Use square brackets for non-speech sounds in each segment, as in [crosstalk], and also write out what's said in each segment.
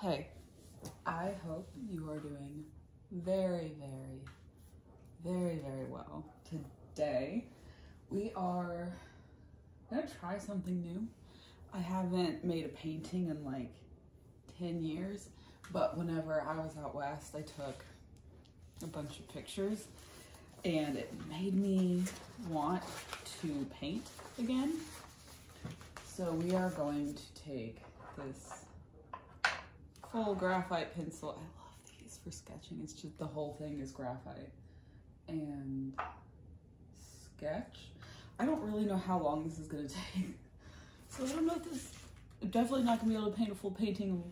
Hey, I hope you are doing very, very, very, very well. Today, we are gonna try something new. I haven't made a painting in like 10 years, but whenever I was out west, I took a bunch of pictures and it made me want to paint again. So we are going to take this full graphite pencil. I love these for sketching. It's just the whole thing is graphite. And sketch. I don't really know how long this is gonna [laughs] take. So I don't know if this, definitely not gonna be able to paint a full painting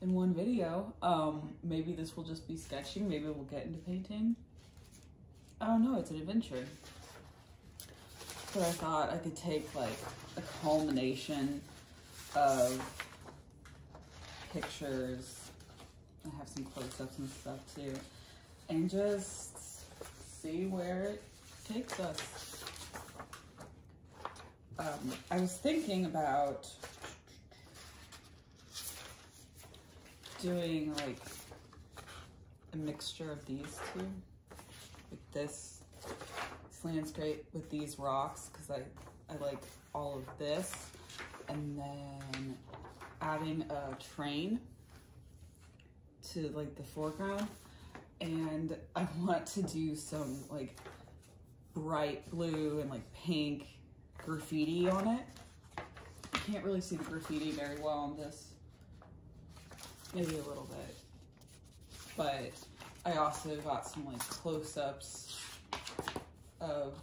in one video. Um, maybe this will just be sketching. Maybe we'll get into painting. I don't know, it's an adventure. So I thought I could take like a culmination of pictures. I have some close-ups and stuff too. And just see where it takes us. Um, I was thinking about doing like a mixture of these two. Like this slant's great with these rocks because I, I like all of this. And then adding a train to like the foreground. And I want to do some like bright blue and like pink graffiti on it. You can't really see the graffiti very well on this maybe a little bit. But I also got some like close-ups of,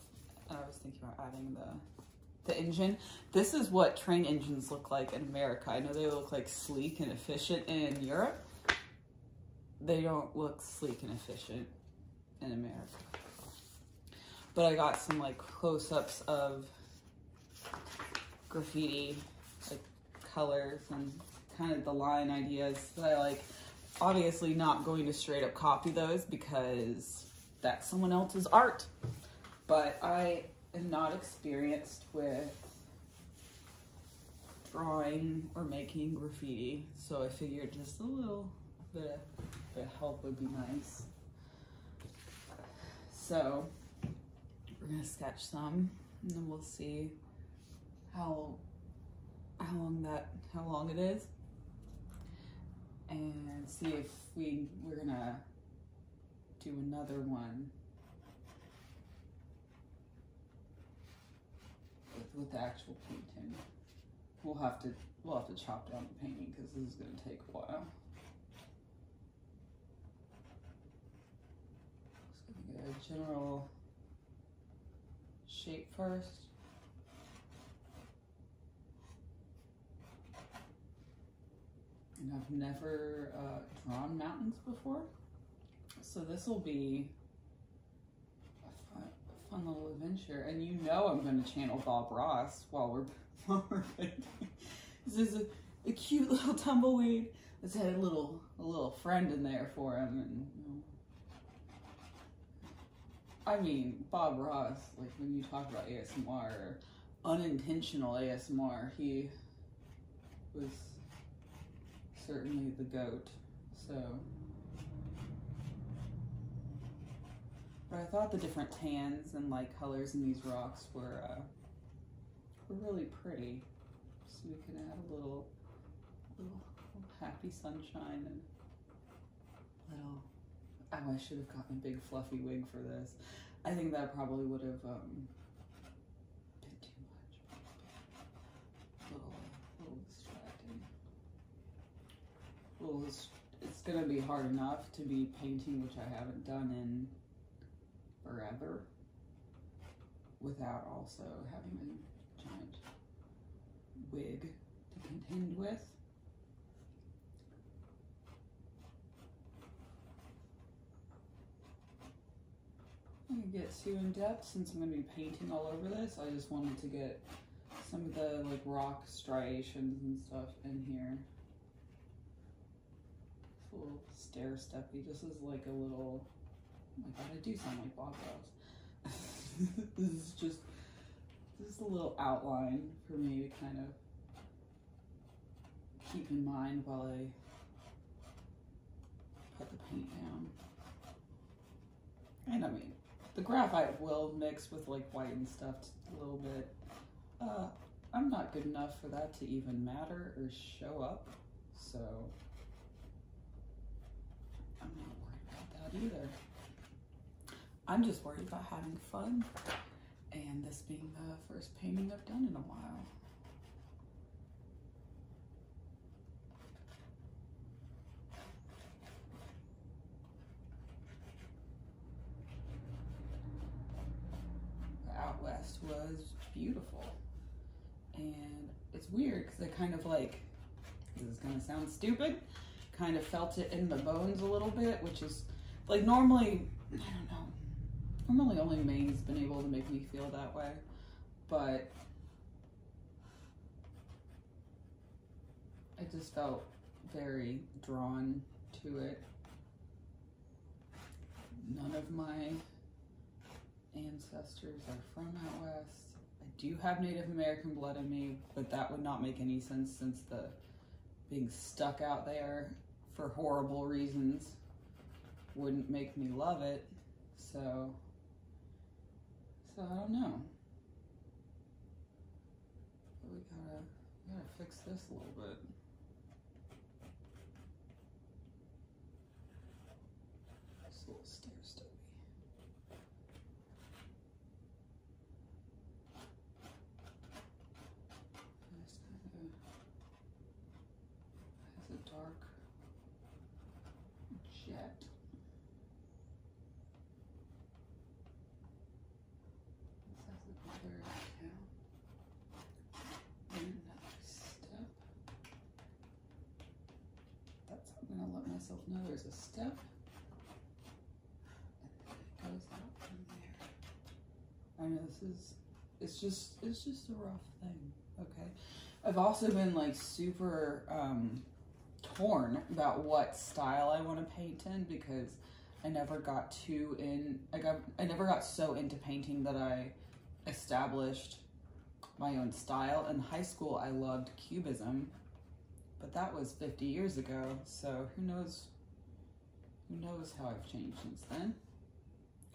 And I was thinking about adding the, the engine. This is what train engines look like in America. I know they look like sleek and efficient in Europe. They don't look sleek and efficient in America. But I got some like close-ups of graffiti like colors and kind of the line ideas that I like. Obviously not going to straight up copy those because that's someone else's art. But I am not experienced with drawing or making graffiti. So I figured just a little bit of, bit of help would be nice. So we're gonna sketch some and then we'll see how how long that how long it is and see if we we're gonna do another one with, with the actual painting. We'll have to we'll have to chop down the painting because this is gonna take a while. Just gonna get a uh, general shape first. And I've never uh, drawn mountains before. So this will be a fun, a fun, little adventure. And you know I'm going to channel Bob Ross while we're, [laughs] while we're painting. This is a, cute [laughs] little tumbleweed that's had a little a little friend in there for him. And I mean, Bob Ross, like when you talk about ASMR or unintentional ASMR, he was certainly the goat. So. But I thought the different tans and like colors in these rocks were uh, really pretty. So we can add a little, little, happy sunshine and little, oh, I should have gotten a big fluffy wig for this. I think that probably would have um, been too much. little, little distracting. little, it's gonna be hard enough to be painting, which I haven't done in forever without also having a giant wig to contend with. I can get too in depth since I'm going to be painting all over this. I just wanted to get some of the like rock striations and stuff in here little stair steppy. This is like a little, oh my god, I do sound like Bob Ross. [laughs] this is just, this is a little outline for me to kind of keep in mind while I put the paint down. And I mean, the graphite will mix with like white and stuff a little bit. Uh, I'm not good enough for that to even matter or show up. So I'm not worried about that either. I'm just worried about having fun and this being the first painting I've done in a while. was beautiful. And it's weird because I kind of like, this is gonna sound stupid, kind of felt it in the bones a little bit, which is like normally, I don't know, normally only Maine's been able to make me feel that way, but I just felt very drawn to it None of my ancestors are from out west. I do have Native American blood in me, but that would not make any sense since the being stuck out there for horrible reasons wouldn't make me love it. So, so I don't know. we gotta, we gotta fix this a little bit. It's little stair stubby. It's kind of has a dark jet. This has a very and step. That's how I'm going to let myself know there's a step. goes out from there. I know this is, it's just, it's just a rough thing, okay? I've also been like super um, torn about what style I want to paint in because I never got too in, I got. I never got so into painting that I established my own style. In high school, I loved cubism, but that was 50 years ago, so who knows, who knows how I've changed since then.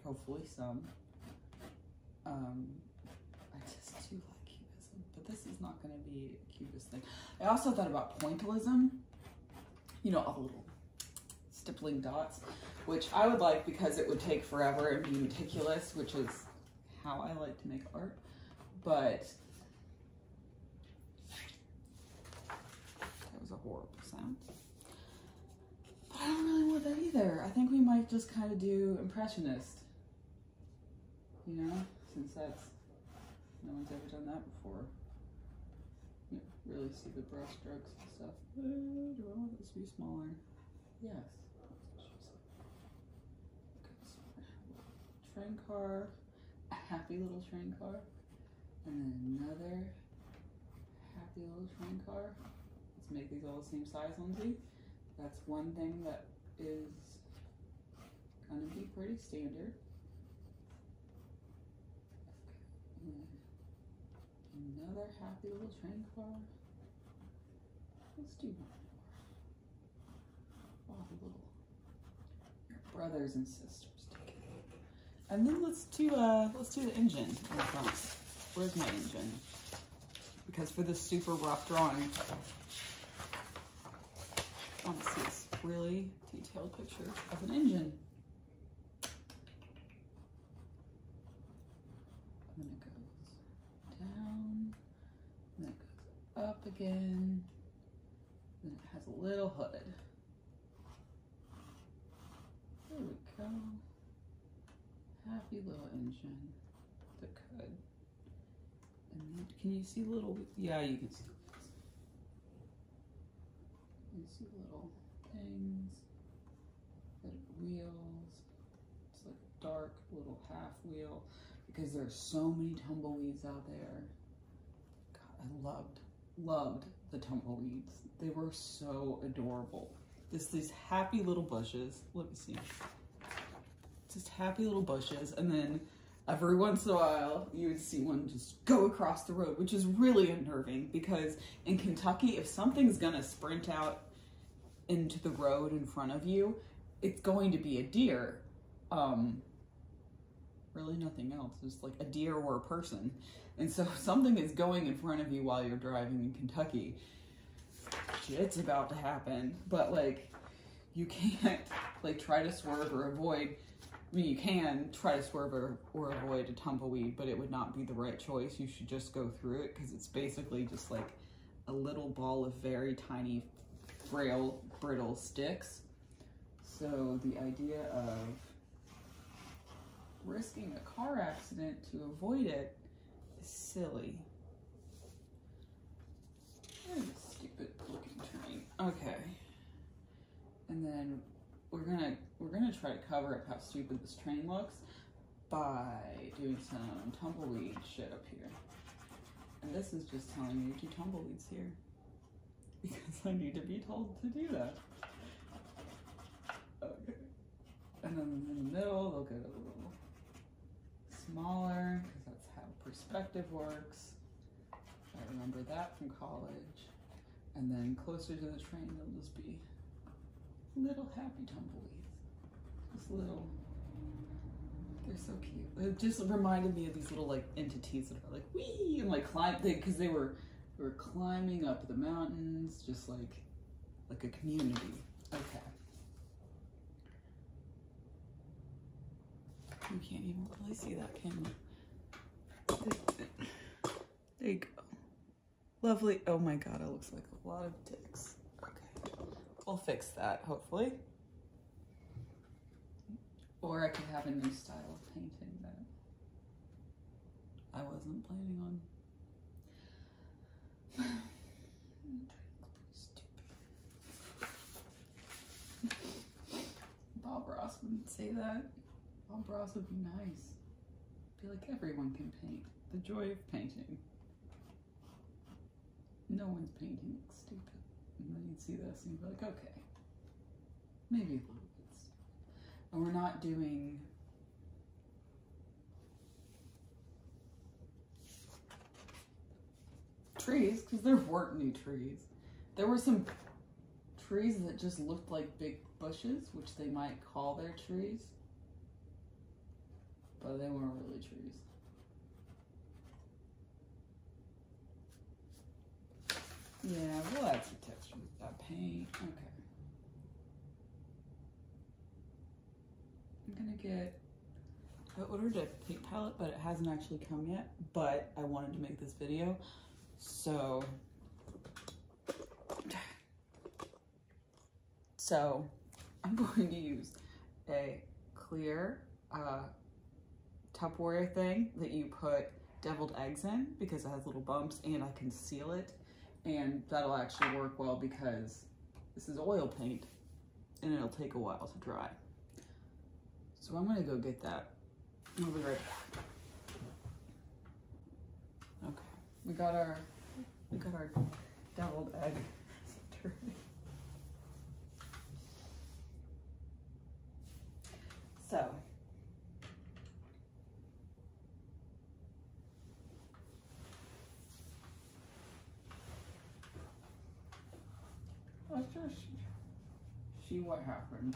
Hopefully some. Um, I just do like cubism, but this is not gonna be cubism. I also thought about pointillism, you know, a little stippling dots, which I would like because it would take forever and be meticulous, which is how I like to make art. But that was a horrible sound. But I don't really want that either. I think we might just kind of do impressionist, you know, since that's no one's ever done that before you really see the brush strokes and stuff. Uh, do I want this to be smaller? Yes. Train car, a happy little train car, and then another happy little train car. Let's make these all the same size, Lindsay. That's one thing that is gonna be pretty standard. Another happy little train car. Let's do one more. All little brothers and sisters And then let's do uh let's do the engine in the front. Where's my engine? Because for this super rough drawing, I want to see this really detailed picture of an engine. And then it goes down, and then it goes up again, and it has a little hood. There we go. Happy little engine that could. can you see little, yeah, you can see. You see little things. That wheels. It's like a dark little half wheel because there are so many tumbleweeds out there. God, I loved, loved the tumbleweeds. They were so adorable. This these happy little bushes. Let me see. Just happy little bushes, and then every once in a while you would see one just go across the road, which is really unnerving because in Kentucky, if something's going to sprint out into the road in front of you, it's going to be a deer. Um, really nothing else. It's like a deer or a person. And so [laughs] something is going in front of you while you're driving in Kentucky. It's about to happen. But like, you can't like try to swerve or avoid. I mean, you can try to swerve or or avoid a tumbleweed, but it would not be the right choice. You should just go through it because it's basically just like a little ball of very tiny, frail, brittle sticks. So the idea of risking a car accident to avoid it is silly. stupid looking train. Okay. And then we're gonna we're gonna try to cover up how stupid this train looks by doing some tumbleweed shit up here. And this is just telling me to do tumbleweeds here [laughs] because I need to be told to do that. Okay. And then in the middle, they'll get a little smaller because that's how perspective works. I remember that from college. And then closer to the train, it will just be little happy tumbleweeds. little. They're so cute. It just reminded me of these little like entities that are like wee and like climb because they, were were climbing up the mountains, just like like a community. Okay. You can't even really see that, camera. There you go lovely, oh my God, it looks like a lot of dicks. Okay, we'll fix that, hopefully. Or I could have a new style of painting that I wasn't planning on. [sighs] Bob Ross wouldn't say that. Bob Ross would be nice feel like, everyone can paint. The joy of painting. No one's painting, stupid. And then you'd see this and you'd be like, okay, maybe a little bit stupid. And we're not doing trees because there weren't new trees. There were some trees that just looked like big bushes, which they might call their trees. But they weren't really trees. Yeah, we'll add some texture with that paint. Okay. I'm gonna get, I ordered a paint palette, but it hasn't actually come yet, but I wanted to make this video, so so [laughs] I'm going to use a clear uh, Tupperware thing that you put deviled eggs in because it has little bumps and I can seal it. And that'll actually work well because this is oil paint and it'll take a while to dry. So I'm gonna go get that. Okay. We got our we got our deviled egg So let's just see what happened.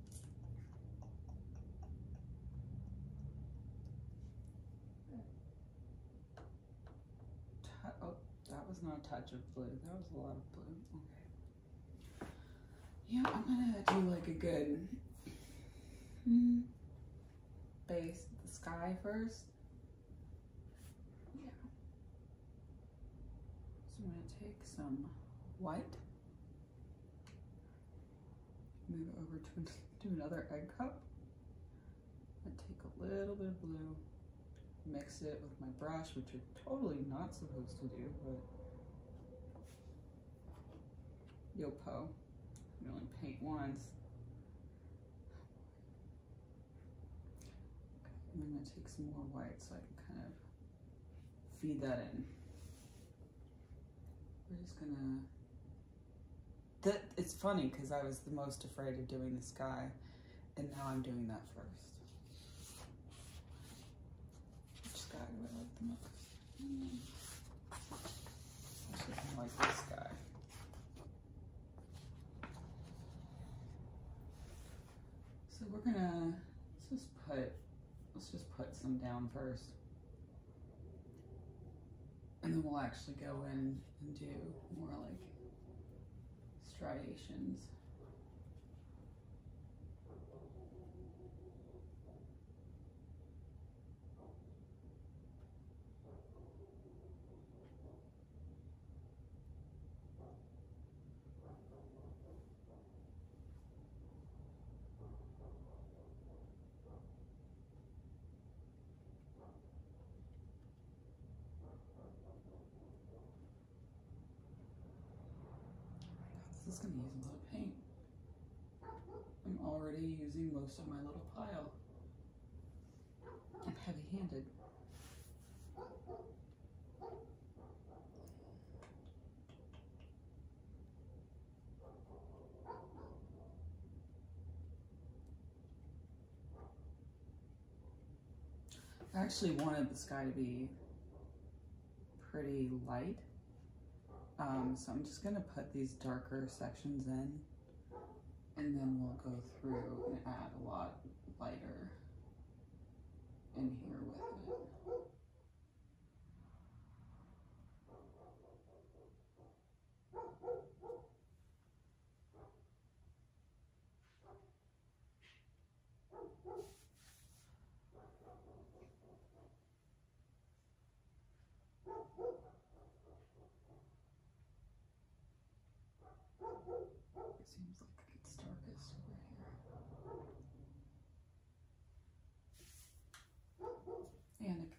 Oh, that was not a touch of blue. That was a lot of blue. Okay. Yeah, I'm gonna do like a good hmm, base the sky first. Yeah. So I'm gonna take some white Move it over to, to [laughs] another egg cup. And take a little bit of blue, mix it with my brush, which you're totally not supposed to do, but Yopo. You only paint once. I'm gonna take some more white so I can kind of feed that in. We're just gonna. That it's funny because I was the most afraid of doing this guy, and now I'm doing that first. Which sky do I like the most? Mm. Actually, like this sky. So we're gonna just put Let's just put some down first. And then we'll actually go in and do more like striations. This is going to use a lot of paint. I'm already using most of my little pile. I'm heavy-handed. I actually wanted the sky to be pretty light. Um, so I'm just going to put these darker sections in and then we'll go through and add a lot lighter in here with it. It seems like it gets darkest over here. And it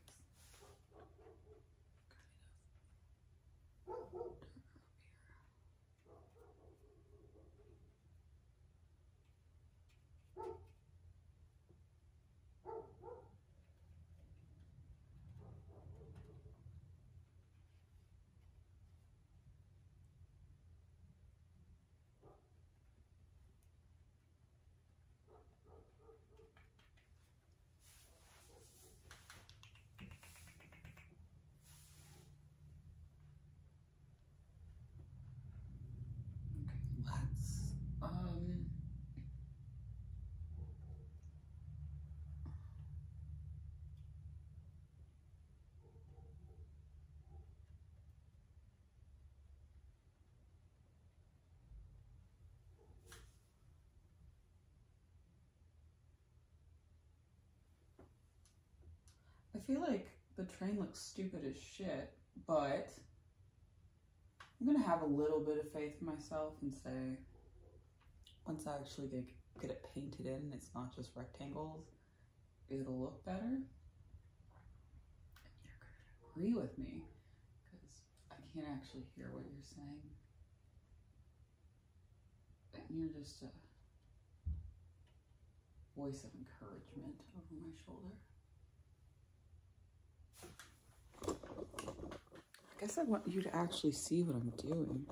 let's um I feel like the train looks stupid as shit, but I'm gonna have a little bit of faith in myself and say, once I actually get it painted in, it's not just rectangles, it'll look better. agree with me because I can't actually hear what you're saying. you're just a voice of encouragement over my shoulder. I guess I want you to actually see what I'm doing.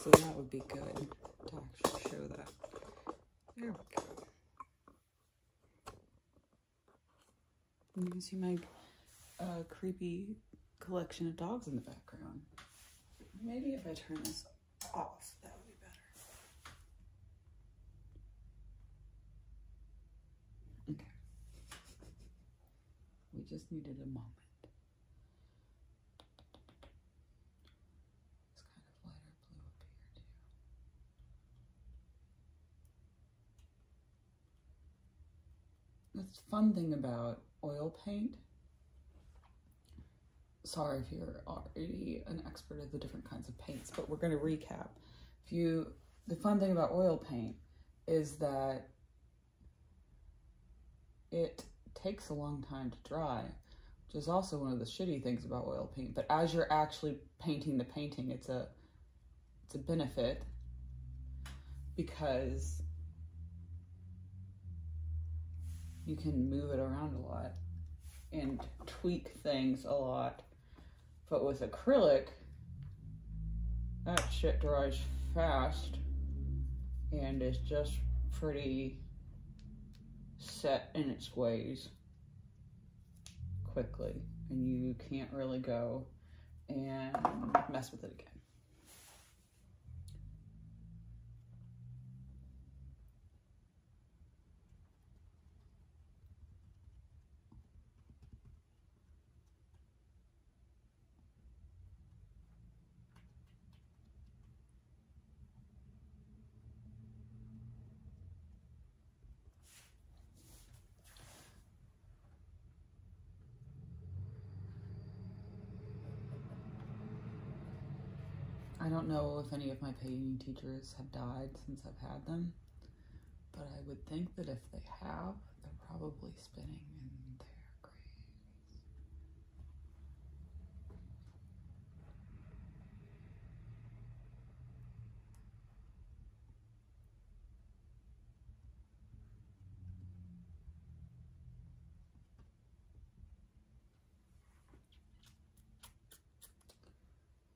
So that would be good to actually show that you can see my uh, creepy collection of dogs in the background. Maybe if I turn this off, that would be better. Okay. We just needed a moment. That's the fun thing about oil paint. Sorry if you're already an expert of the different kinds of paints, but we're going to recap. If you, the fun thing about oil paint is that it takes a long time to dry, which is also one of the shitty things about oil paint. But as you're actually painting the painting, it's a, it's a benefit because you can move it around a lot and tweak things a lot. But with acrylic, that shit dries fast and is just pretty set in its ways quickly and you can't really go and mess with it again. I don't know if any of my painting teachers have died since I've had them, but I would think that if they have, they're probably spinning in their graves.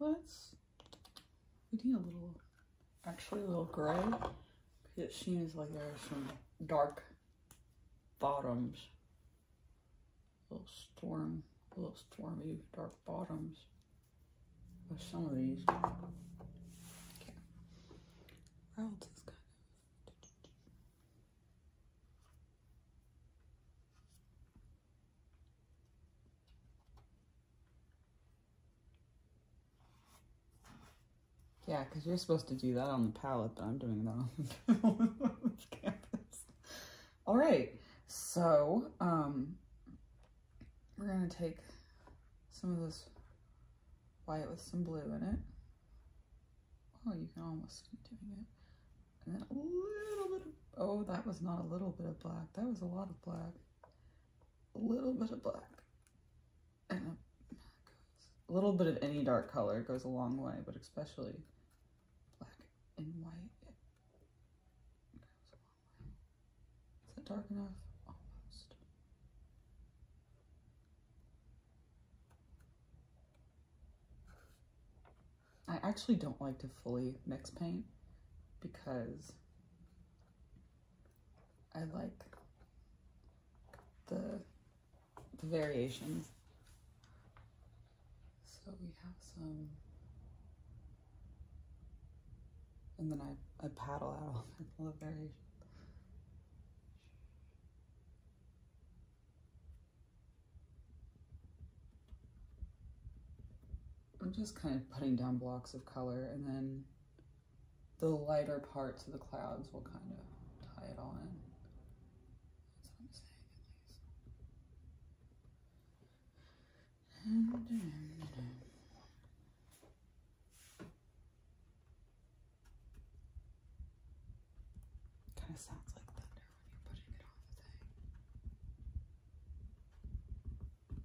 Let's, we need a little, actually a little gray, because she seems like there are some dark bottoms little storm, little stormy, dark bottoms some of these. Okay. Yeah, because you're supposed to do that on the palette, but I'm doing that on the [laughs] canvas. All right, so um, we're gonna take some of this white with some blue in it. Oh, you can almost keep it. And then a little bit oh, that was not a little bit of black. That was a lot of black. A little bit of black. And a little bit of any dark color goes a long way, but especially black and white. Is that dark enough? Almost. I actually don't like to fully mix paint because I like the variations so we have some, and then I, I paddle out all [laughs] my I'm just kind of putting down blocks of color and then the lighter parts of the clouds will kind of tie it on. in. Kind of sounds like thunder when you're putting it on the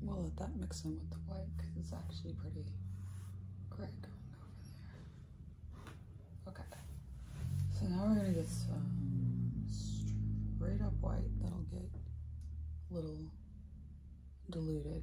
We'll let that mix in with the white because it's actually pretty gray going over there. Okay. So now we're gonna get some straight up white that'll get a little diluted.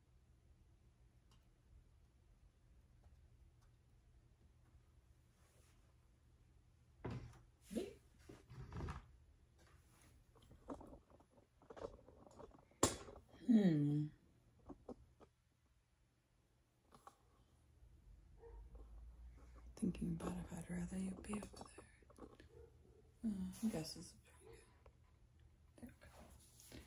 Hmm. Thinking about it, I'd rather you be over there. Uh, I guess it's pretty good. There we go.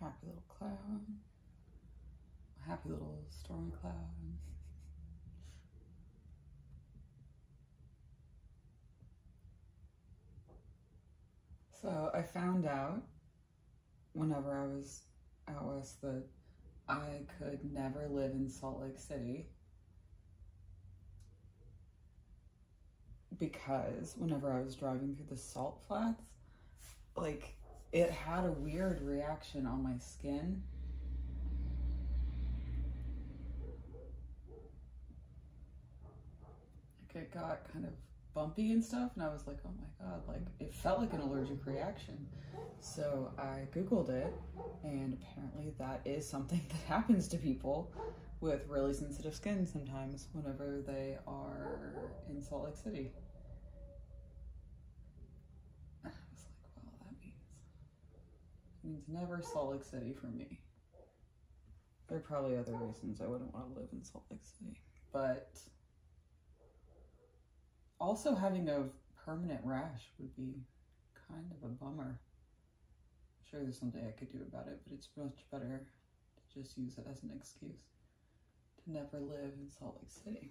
Happy little cloud. Happy little stormy cloud. so I found out whenever I was out west that I could never live in Salt Lake City because whenever I was driving through the salt flats, like it had a weird reaction on my skin. Like it got kind of bumpy and stuff and I was like, oh my god, like it felt like an allergic reaction. So I googled it and apparently that is something [laughs] that happens to people with really sensitive skin sometimes whenever they are in Salt Lake City. [sighs] I was like, well, that means it means never Salt Lake City for me. There are probably other reasons I wouldn't want to live in Salt Lake City, but also having a permanent rash would be kind of a bummer sure there's something I could do about it, but it's much better to just use it as an excuse to never live in Salt Lake City.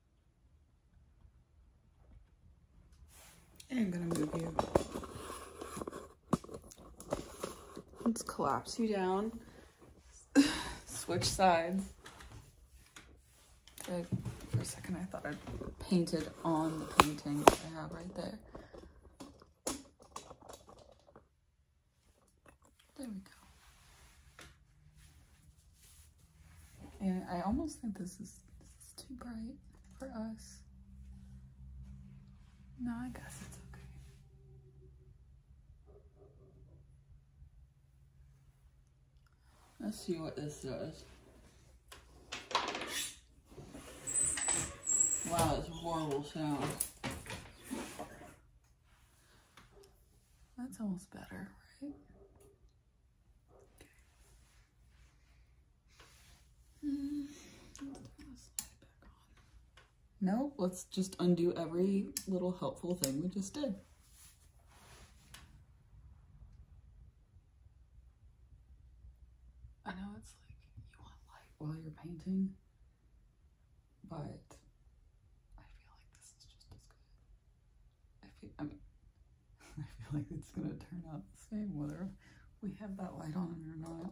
I'm gonna move you. Let's collapse you down. [sighs] Switch sides. for a second, I thought I painted on the painting that I have right there. There we go. And I almost think this is, this is too bright for us. No, I guess it's okay. Let's see what this does. Wow, it's a horrible sound. That's almost better, right? no, let's just undo every little helpful thing we just did. I know it's like you want light while you're painting, but I feel like this is just as good. I feel, [laughs] I, feel like it's going to turn out the same whether we have that light on or not.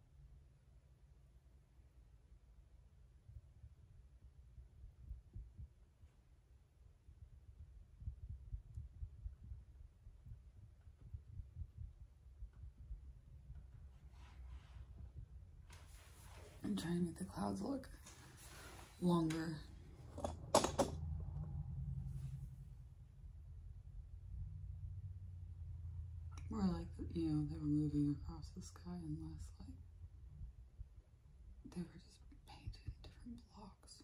I'm trying to make the clouds look longer. More like, you know, they were moving across the sky and less like they were just painted in different blocks.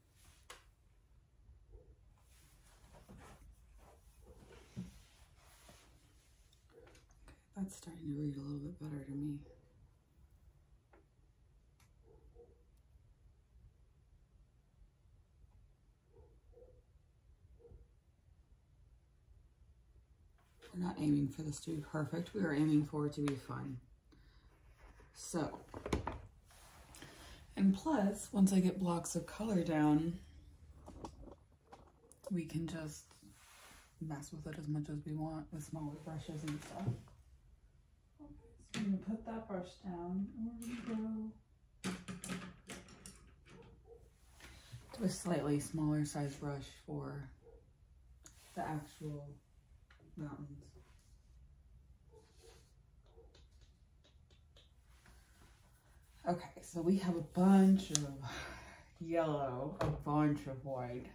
That's starting to read a little bit better to me. We're not aiming for this to be perfect. We are aiming for it to be fun. So, and plus, once I get blocks of color down, we can just mess with it as much as we want with smaller brushes and stuff. So I'm put that brush down We're gonna go to a slightly smaller size brush for the actual mountains. Okay, so we have a bunch of yellow, a bunch of white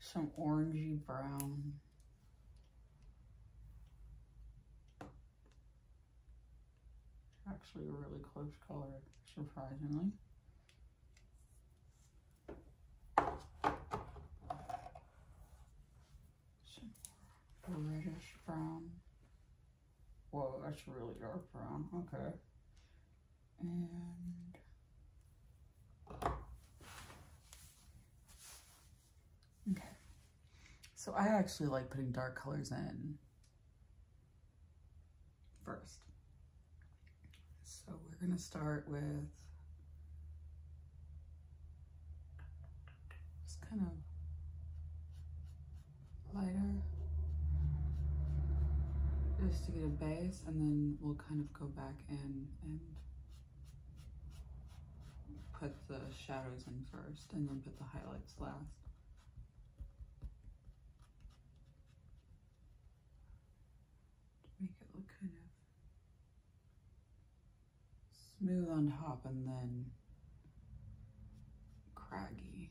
some orangy brown. Actually a really close color, surprisingly. Some reddish brown. Whoa, that's really dark brown. Okay. okay. So I actually like putting dark colors in first. So we're gonna start with it's kind of lighter just to get a base and then we'll kind of go back in and put the shadows in first and then put the highlights last. To make it look kind of smooth on top and then craggy.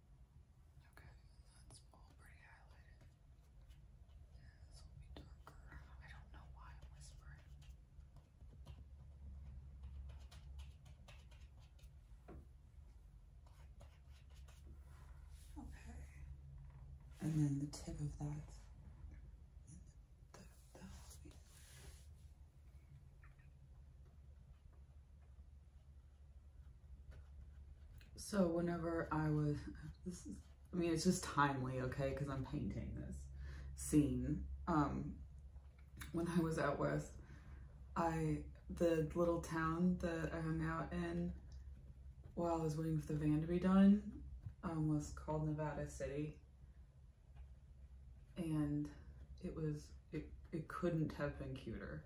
Okay, that's all pretty highlighted. this will be darker. I don't know why I'm whispering. Okay. And then the tip of that. So whenever I was, this is, I mean, it's just timely, okay, because I'm painting this scene. Um, when I was out west, I, the little town that I hung out in while I was waiting for the van to be done um, was called Nevada City. And it was, it, it couldn't have been cuter.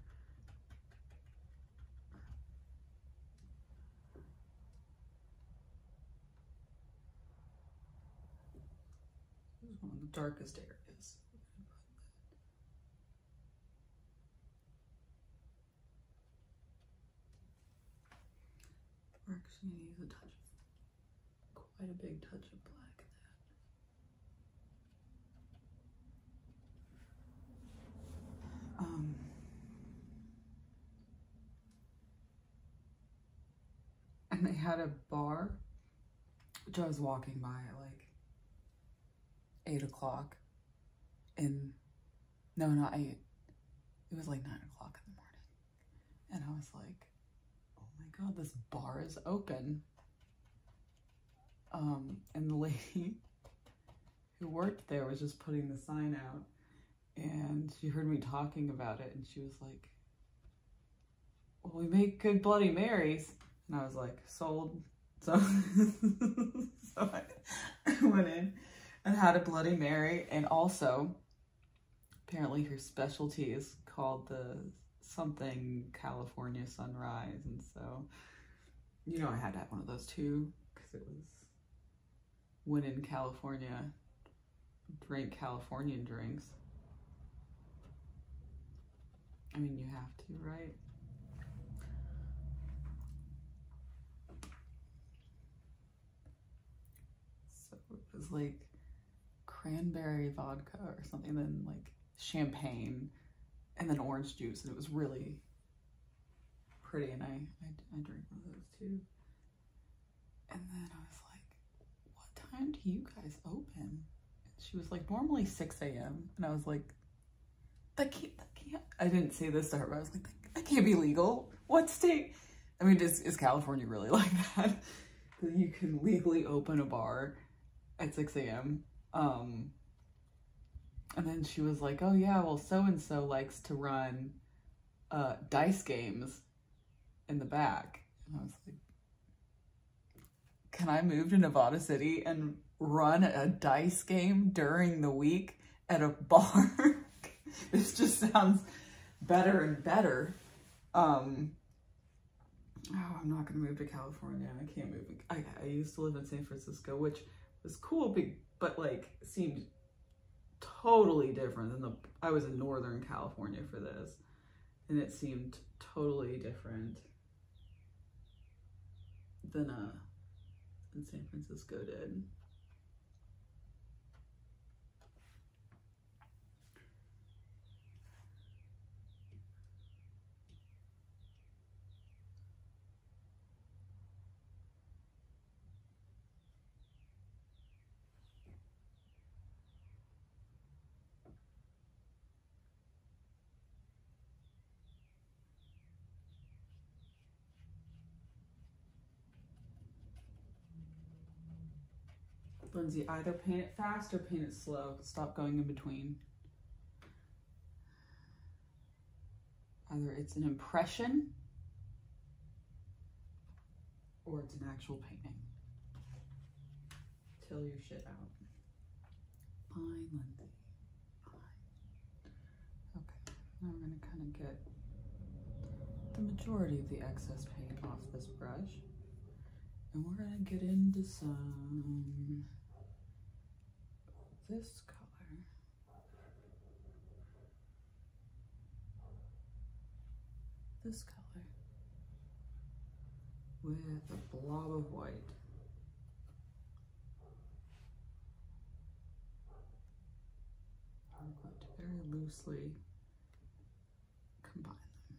This one of the darkest areas. We're actually going to use a touch of, quite a big touch of black um, and they had a bar, which I was walking by at like eight o'clock in, no, no, I. It was like nine o'clock in the morning. And I was like, oh my God, this bar is open. Um, and the lady who worked there was just putting the sign out and she heard me talking about it and she was like, well, we make good Bloody Marys. And I was like, sold. So, [laughs] so I, [laughs] I went in and had a Bloody Mary. And also, apparently her specialty is called the something California sunrise. And so, you know, I had to have one of those too because it was when in California, drink Californian drinks. I mean, you have to, right? So it was like cranberry vodka or something, then like champagne, and then orange juice, and it was really pretty, and I, I, I one of those too. And then I was like, what time do you guys open? And she was like, normally 6 a.m. And I was like, that can't, that can't, I didn't say this to her, but I was like, that, can't be legal. What state? I mean, is, is California really [laughs] like that? that you can legally open a bar at 6 a.m. Um, and then she was like, oh yeah, well, so-and-so likes to run uh, dice games in the back. I was like, can I move to Nevada City and run a dice game during the week at a bar? [laughs] this just sounds better and better. Um, oh, I'm not going to move to California. I can't move. I, used to live in San Francisco, which was cool be but like seemed totally different than the I was in Northern California for this, and it seemed totally different than a uh, than San Francisco did. Lindsay, either paint it fast or paint it slow. Stop going in between. Either it's an impression or it's an actual painting. Till your shit out. Fine, Lindsay. Fine. Okay, now we're gonna kind of get the majority of the excess paint off this brush. And we're gonna get into some this color this color with a blob of white. very loosely combine them.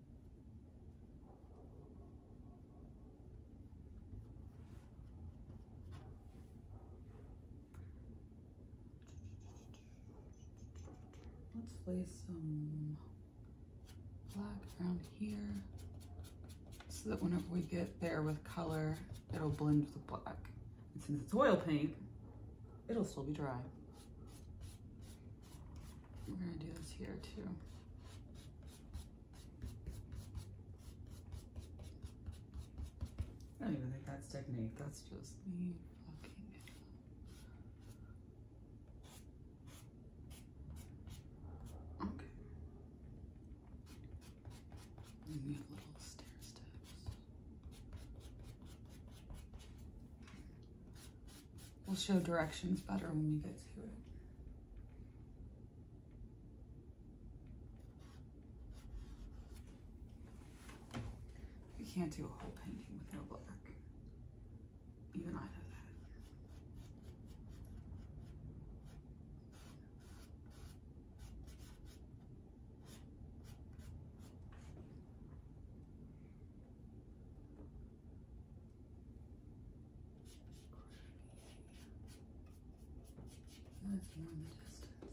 Let's lay some black around here so that whenever we get there with color, it'll blend with black. And since it's oil paint, it'll still be dry. We're gonna do this here too. I don't even think that's technique. That's just me Okay. little stair steps. We'll show directions better when we get to it. You can't do a whole painting with no black. Even I know that. And there's more in the distance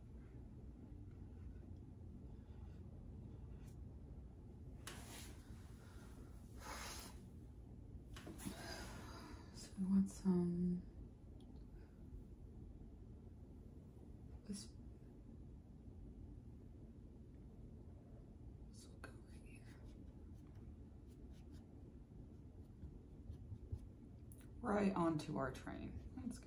So we want some this this go right here. Right onto our train. That's good.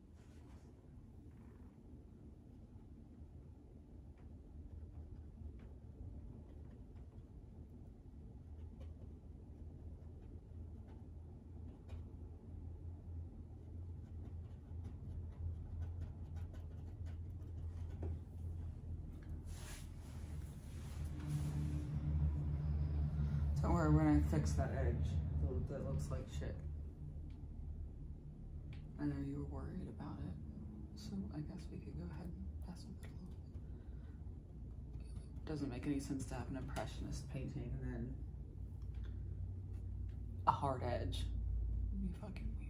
Don't worry, we're gonna fix that edge that looks like shit. I know you were worried about it, so I guess we could go ahead and pass on it. a little bit. Doesn't make any sense to have an impressionist painting and then a hard edge. it fucking weird.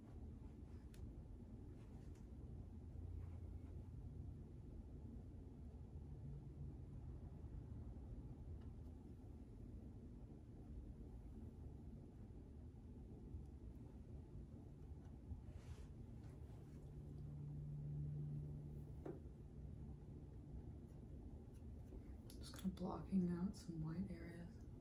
Just kind of blocking out some white areas.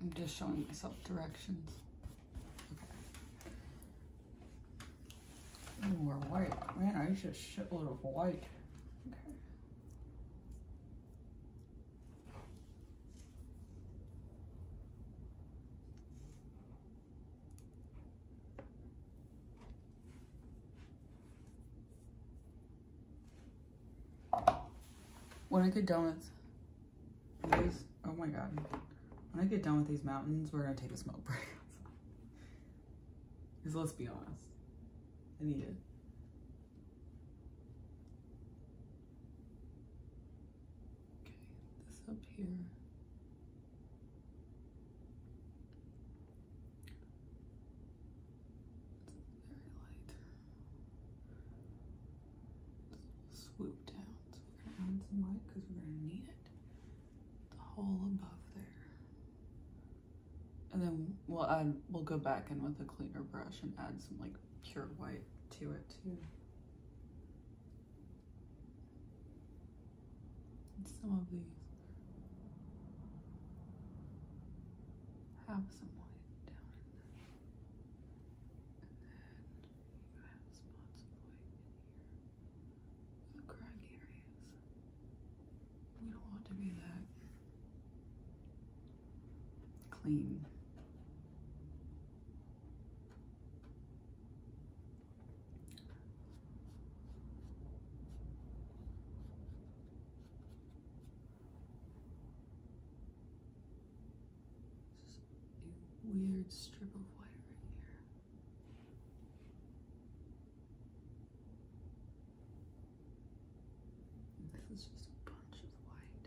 I'm just showing myself directions. Okay. white. Man, I used a shitload of white. Okay. When I get done with these, oh my god. When I get done with these mountains, we're gonna take a smoke [laughs] break. Because let's be honest, I need it. Okay, this up here very light. swoop down. we're gonna add some white because we're gonna need it. The whole above there. And then we'll add we'll go back in with a cleaner brush and add some like pure white to it too some of these have some light down in them. And then you have spots of light in here. The crack areas. We don't want to be that clean. This is a weird strip of wire right here. this is just a bunch of white.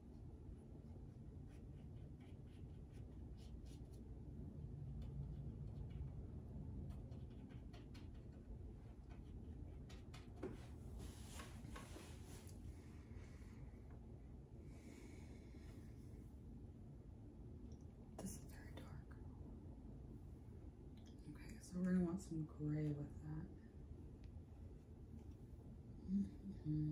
This is very dark. Okay, so we're gonna want some gray with that. Mm-hmm.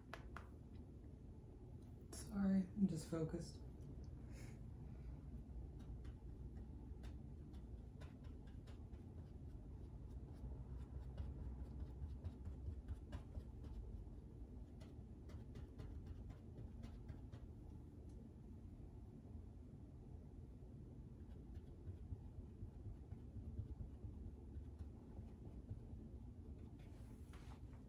Sorry, I'm just focused.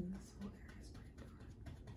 And this whole area is pretty dark.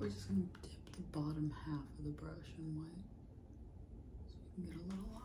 We're just going to dip the bottom half of the brush in white so we can get a little line.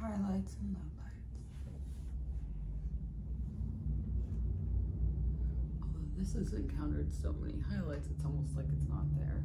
highlights and lowlights. Although this has encountered so many highlights, it's almost like it's not there.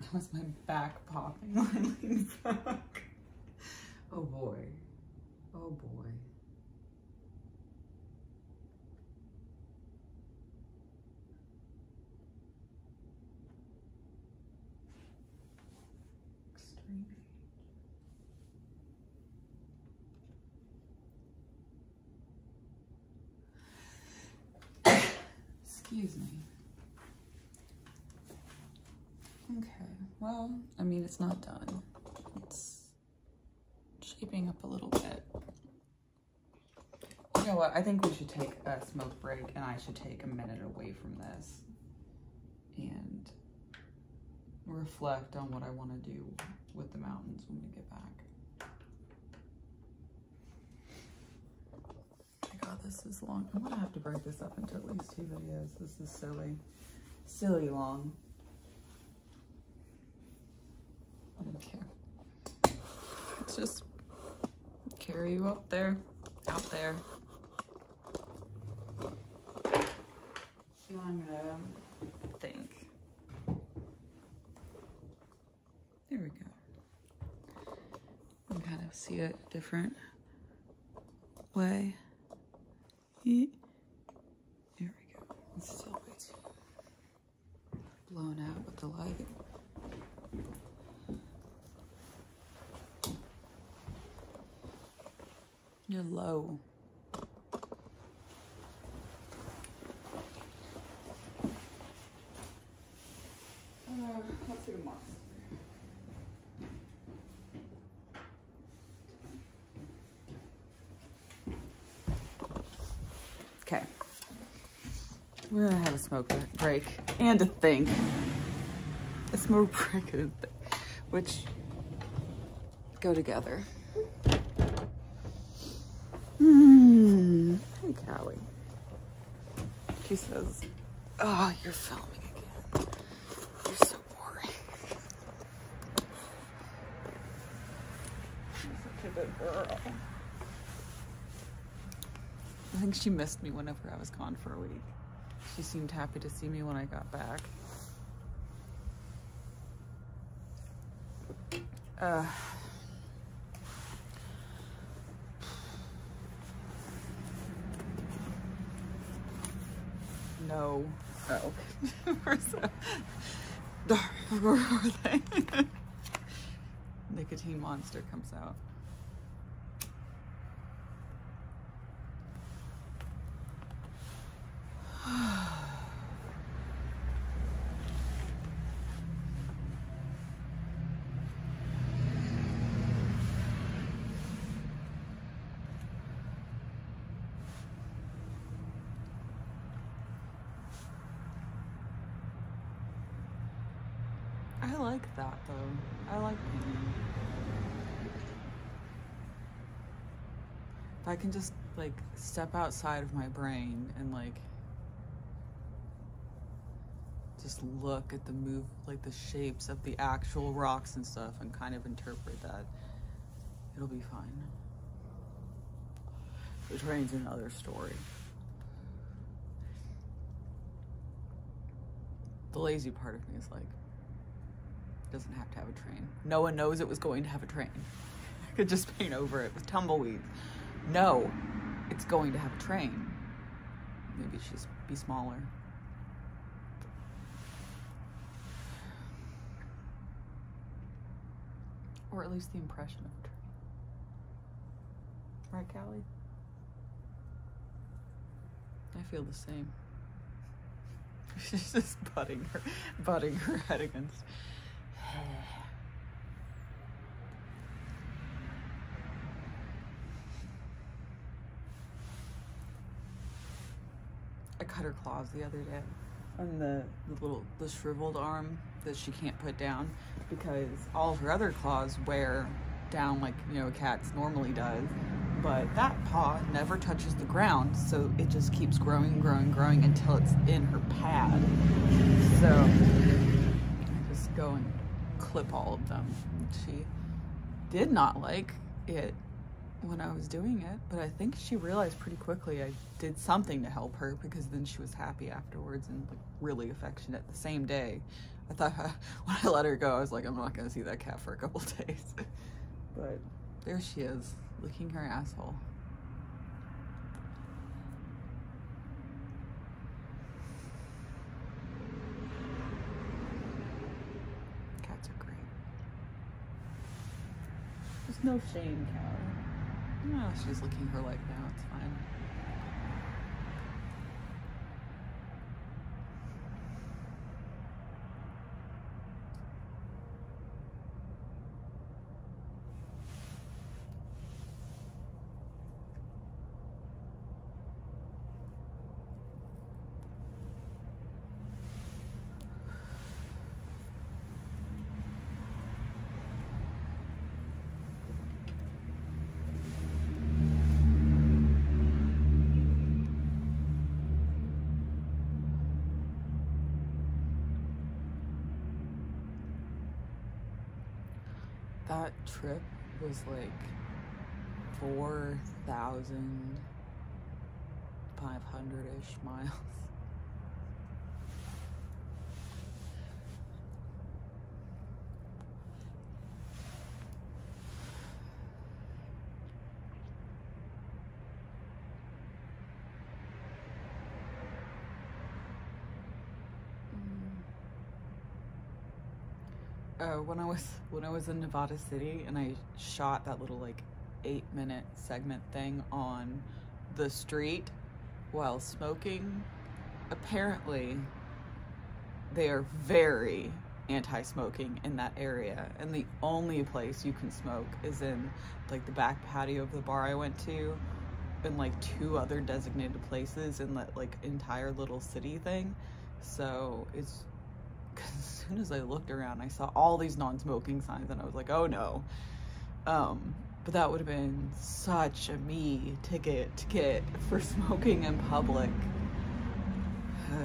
That was my back popping [laughs] Oh boy. Oh boy. Excuse me. Okay, well, I mean, it's not done. It's shaping up a little bit. You know what? I think we should take a smoke break and I should take a minute away from this and reflect on what I want to do with the mountains when we get back. God, this is long. I'm gonna have to break this up into at least two videos. This is silly, silly long. I don't care. It's just carry you up there, out there. I'm gonna think. There we go. You can kind of see it different way. There we go. It's still way blown out with the light. You're low. Uh, Okay. We're gonna have a smoke break and a think. A smoke [laughs] break and a think, which go together. Hmm. Hey, Callie. She says, oh, you're filming again. I think she missed me whenever I was gone for a week. She seemed happy to see me when I got back. Uh, no. Oh. [laughs] Where's the... Where are [laughs] Nicotine monster comes out. I like that though. I like painting. If I can just like step outside of my brain and like just look at the move, like the shapes of the actual rocks and stuff and kind of interpret that. It'll be fine. The train's another story. The lazy part of me is like, doesn't have to have a train. No one knows it was going to have a train. [laughs] I could just paint over it with tumbleweeds. No, it's going to have a train. Maybe it should be smaller. Or at least the impression of a tree. Right, Callie? I feel the same. [laughs] She's just butting her, butting her head against. I cut her claws the other day on the, little the shriveled arm that she can't put down because all her other claws wear down like you know a cat's normally does but that paw never touches the ground so it just keeps growing growing growing until it's in her pad so I just go and clip all of them she did not like it when I was doing it but I think she realized pretty quickly I did something to help her because then she was happy afterwards and like really affectionate the same day. I thought [laughs] when I let her go, I was like, I'm not gonna see that cat for a couple [laughs] days. but there she is, licking her asshole. Cats are great. There's no shame, Callie. No, she's licking her leg now. It's fine that trip was like 4,000 500-ish miles. Uh, when I was when I was in Nevada City and I shot that little like eight minute segment thing on the street while smoking. Apparently, they are very anti-smoking in that area and the only place you can smoke is in like the back patio of the bar I went to and like two other designated places in that like entire little city thing so it's as soon as I looked around I saw all these non-smoking signs and I was like oh no um, but that would have been such a me ticket to get for smoking in public. [sighs]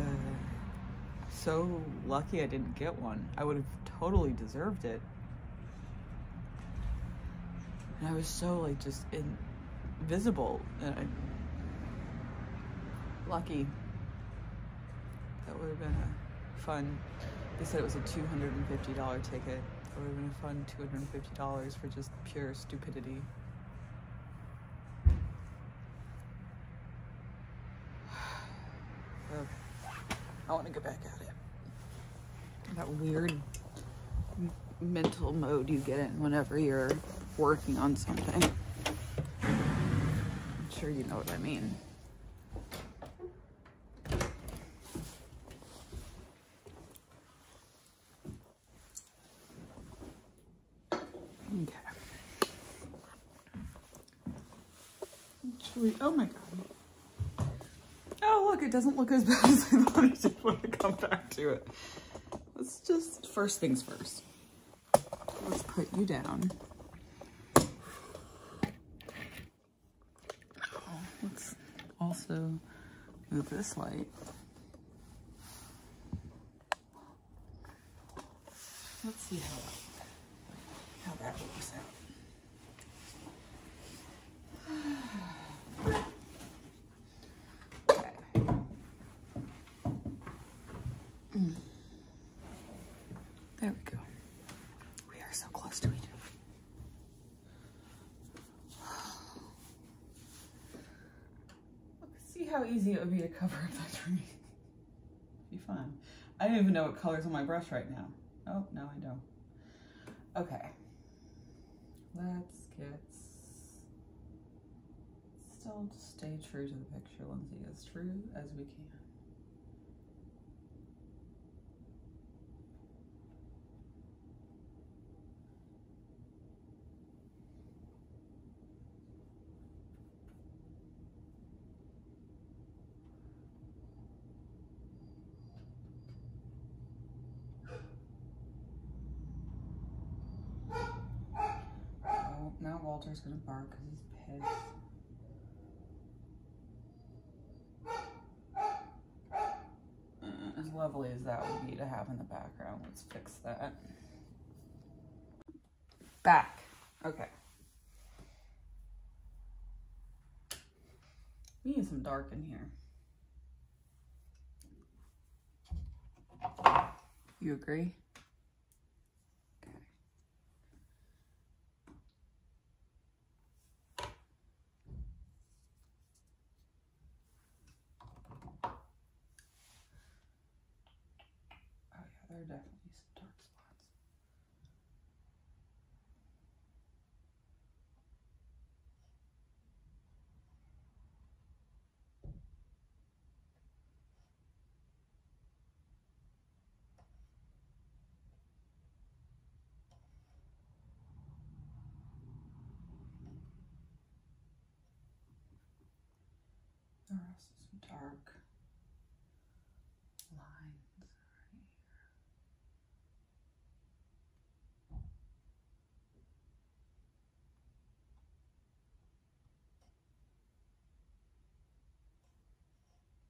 so lucky I didn't get one. I would have totally deserved it. And I was so like just invisible. And I, lucky. That would have been a fun, they said it was a $250 ticket. That would have been a fun $250 for just pure stupidity. [sighs] I want to get back at it. That weird mental mode you get in whenever you're working on something. I'm sure you know what I mean. Okay. oh my god. Oh look, it doesn't look as [laughs] bad as I thought I just want to come back to it. Let's just, first things first. Let's put you down. Oh, let's also move this light. Let's see how that, how that works out. [sighs] Okay. Mm. There we go. We are so close to each See how easy it would be to cover up that tree. be fun. I don't even know what color's on my brush right now. Oh, no, I don't. Okay. Let's get... Still stay true to the picture, see as true as we can. Now Walter's gonna bark because he's pissed. As lovely as that would be to have in the background, let's fix that. Back, okay. We need some dark in here. You agree? Okay. Oh, yeah, there are definitely some dark spots. There are also some dark lines right here.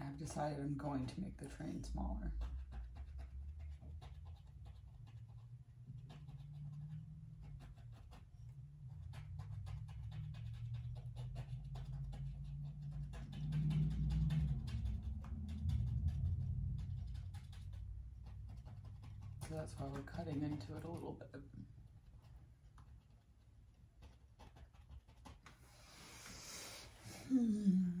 I've decided I'm going to make the train smaller. So that's why we're cutting into it a little bit. Hmm.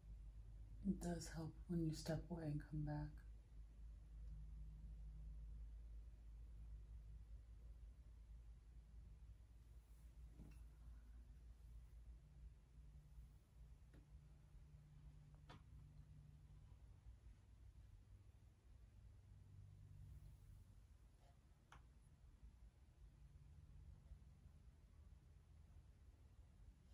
It does help when you step away and come back.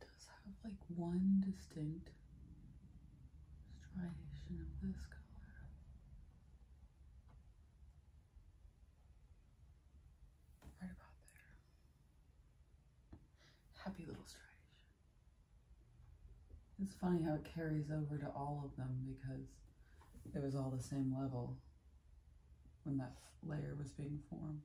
does have like one distinct striation of this color. Right about there. Happy little striation. It's funny how it carries over to all of them because it was all the same level when that layer was being formed.